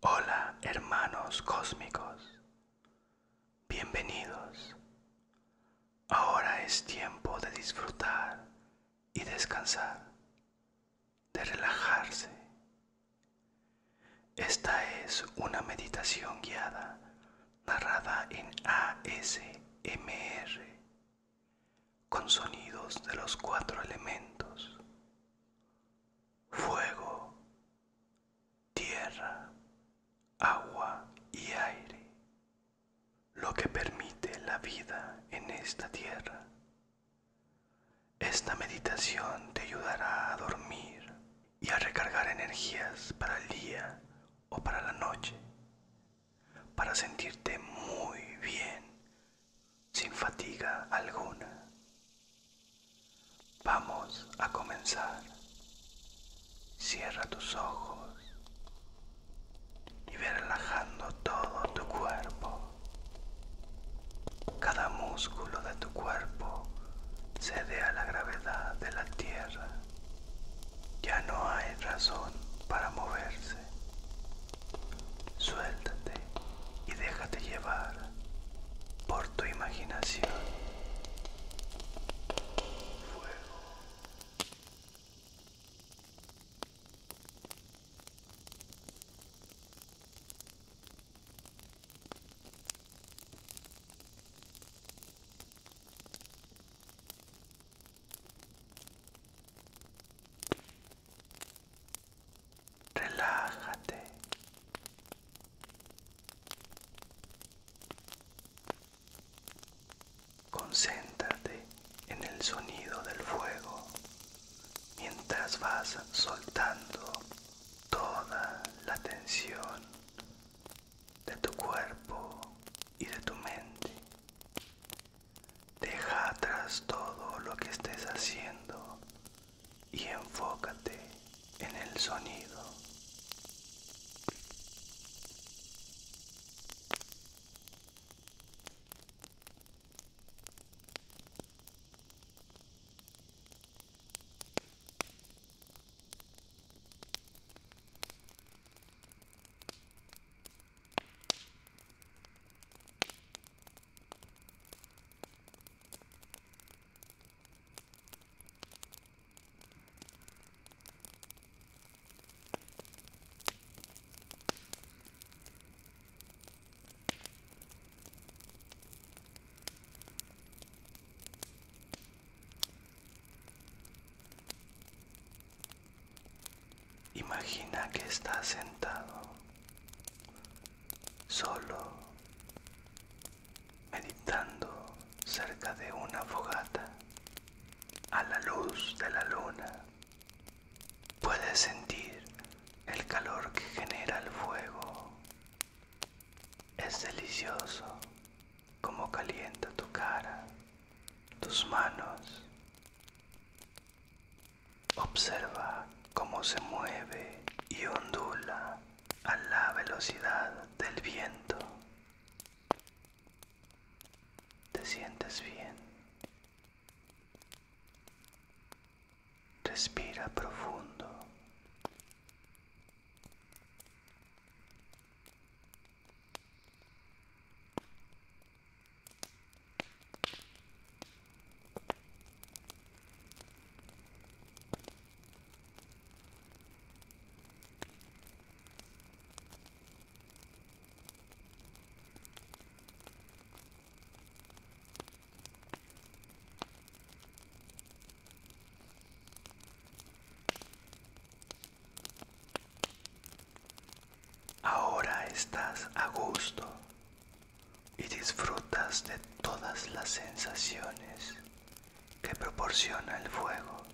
Hola hermanos cósmicos, bienvenidos. Ahora es tiempo de disfrutar y descansar, de relajarse. Esta es una meditación guiada narrada en ASMR con sonidos de los cuatro elementos fuego, tierra, agua y aire, lo que permite la vida en esta tierra. Esta meditación te ayudará a dormir y a recargar energías para el día o para la noche, para sentirte muy bien sin fatiga alguna. Vamos a comenzar. Cierra tus ojos y ve relajando todo tu cuerpo. Cada músculo de tu cuerpo cede a la gravedad de la tierra. Ya no hay razón para moverse. Suéltate y déjate llevar por tu imaginación relájate concéntrate en el sonido del fuego mientras vas soltando toda la tensión de tu cuerpo y de tu mente deja atrás todo lo que estés haciendo y enfócate en el sonido. Imagina que está sentado solo, meditando cerca de una fogata a la luz de la luna. Puedes sentir el calor que genera el fuego. Es delicioso como calienta tu cara, tus manos Observa cómo se mueve y ondula a la velocidad del viento. Te sientes bien. Respira profundo. Ahora estás a gusto y disfrutas de todas las sensaciones que proporciona el fuego.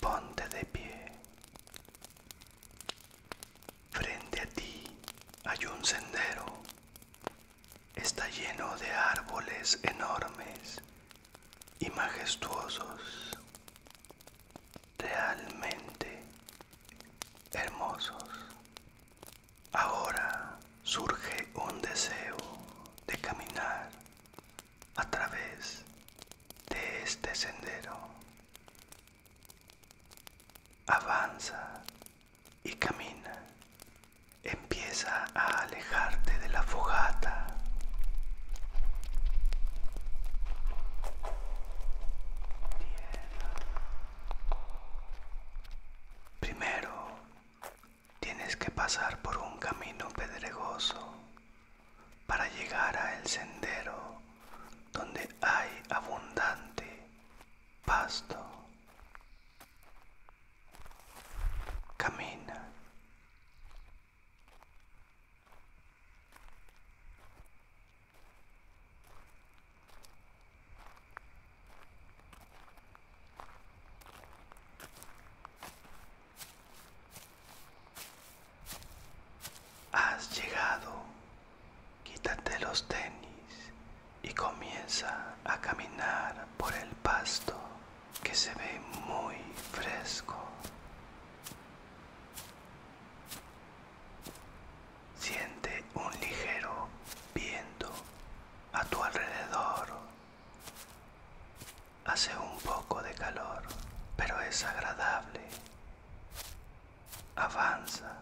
Ponte de pie. Frente a ti hay un sendero está lleno de árboles enormes y majestuosos, realmente hermosos. Ahora surge un deseo de caminar a través de este sendero. Avanza y camina. Empieza a alejarte de la fogata. Primero, tienes que pasar por un camino pedregoso para llegar al sendero donde hay abundante pasto. Camina. Has llegado. Quítate los tenis y comienza a caminar por el pasto que se ve muy fresco. Siente un ligero viento a tu alrededor. Hace un poco de calor, pero es agradable. Avanza.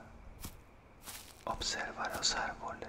Observa los árboles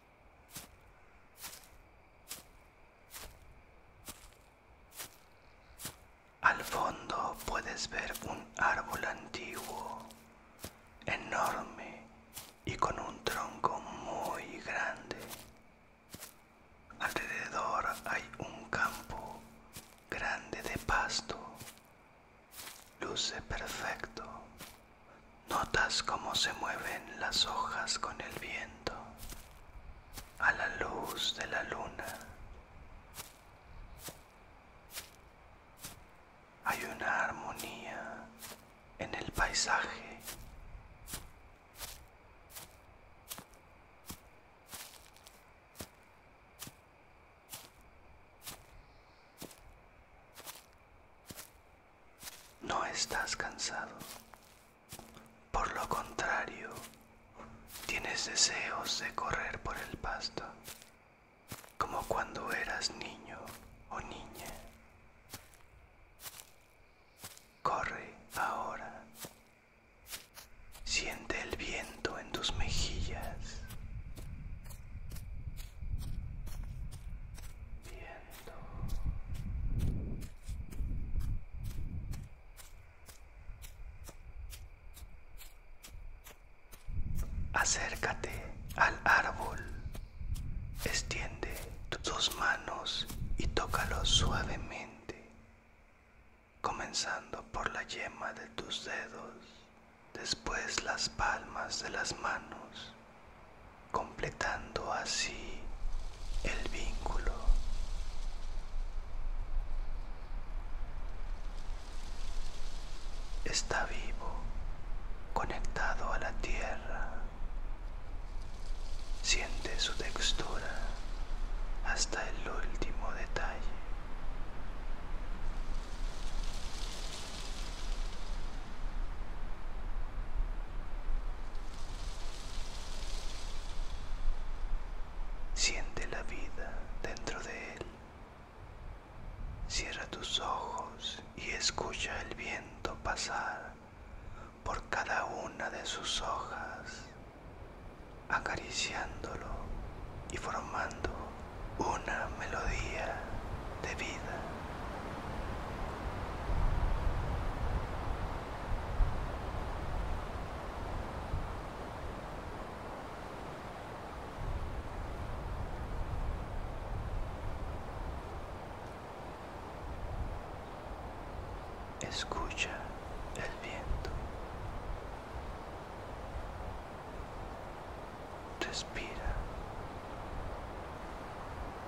Al fondo puedes ver un árbol antiguo, enorme y con un tronco muy grande. Alrededor hay un campo grande de pasto. Luce perfecto. Notas cómo se mueven las hojas con el viento a la luz de la luna. Hay una armonía en el paisaje. No estás cansado. Por lo contrario, tienes deseos de correr por el pasto, como cuando eras niño o niña. Corre ahora. Siente el viento en tus mejillas. Acércate al árbol, extiende tus manos y tócalo suavemente, comenzando por la yema de tus dedos, después las palmas de las manos completando así el vínculo. Está vivo, conectado a la tierra. Siente su textura hasta el último detalle. Siente la vida dentro de él. Cierra tus ojos y escucha el viento pasar por cada una de sus hojas, acariciándolo y formando una melodía de vida. Escucha el viento. Respira.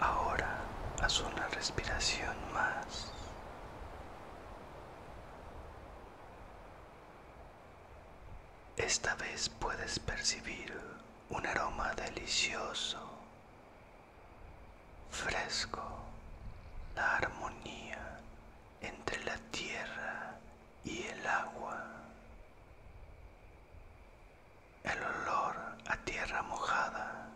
Ahora haz una respiración más. Esta vez puedes percibir un aroma delicioso Fresco la armonía entre la tierra y el agua. El olor a tierra mojada.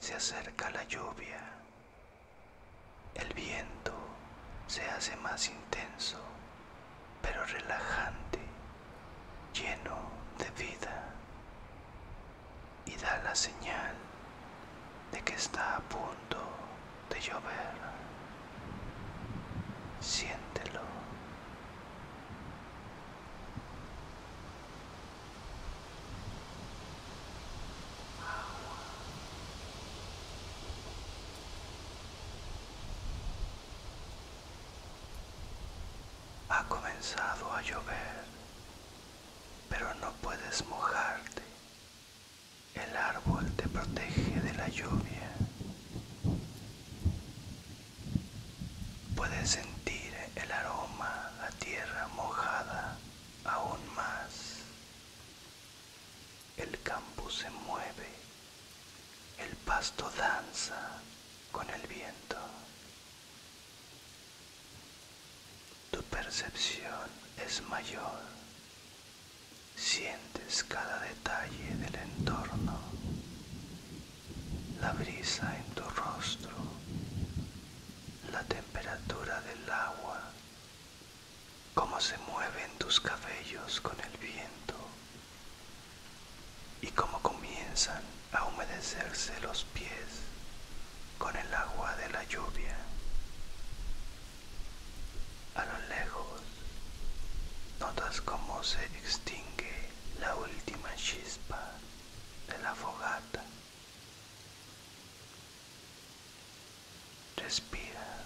Se acerca la lluvia. El viento se hace más intenso pero relajante, lleno de vida y da la señal de que está a punto de llover. Siéntelo. Ha comenzado a llover, pero no puedes mojarte. El árbol te protege de la lluvia. Puedes sentir el aroma la tierra mojada aún más. El campo se mueve el pasto danza con el viento. Tu percepción es mayor. Sientes cada detalle del entorno. La brisa en tu rostro. La temperatura del agua. Cómo se mueven tus cabellos con el viento y cómo comienzan a humedecerse los pies con el agua de la lluvia. A lo lejos notas cómo se extingue la última chispa de la fogata. Respira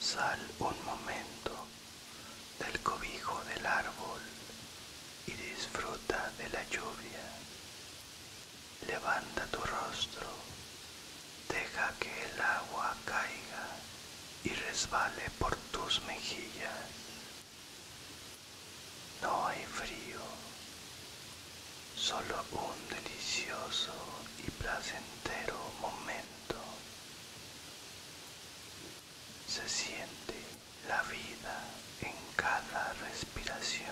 Sal un momento del cobijo del árbol y disfruta de la lluvia. Levanta tu rostro, deja que el agua caiga y resbale por tus mejillas. No hay frío, solo un delicioso y placentero momento. Se siente la vida en cada respiración.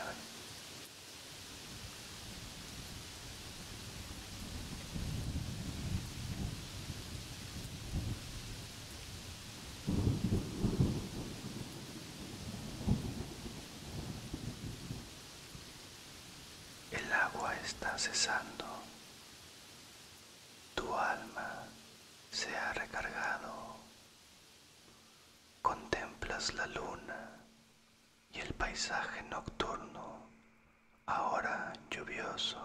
El agua está cesando. Tu alma se ha recargado Contemplas la luna y el paisaje nocturno, ahora lluvioso.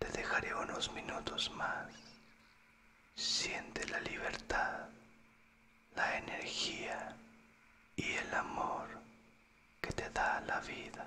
Te dejaré unos minutos más. Siente la libertad, la energía y el amor que te da la vida.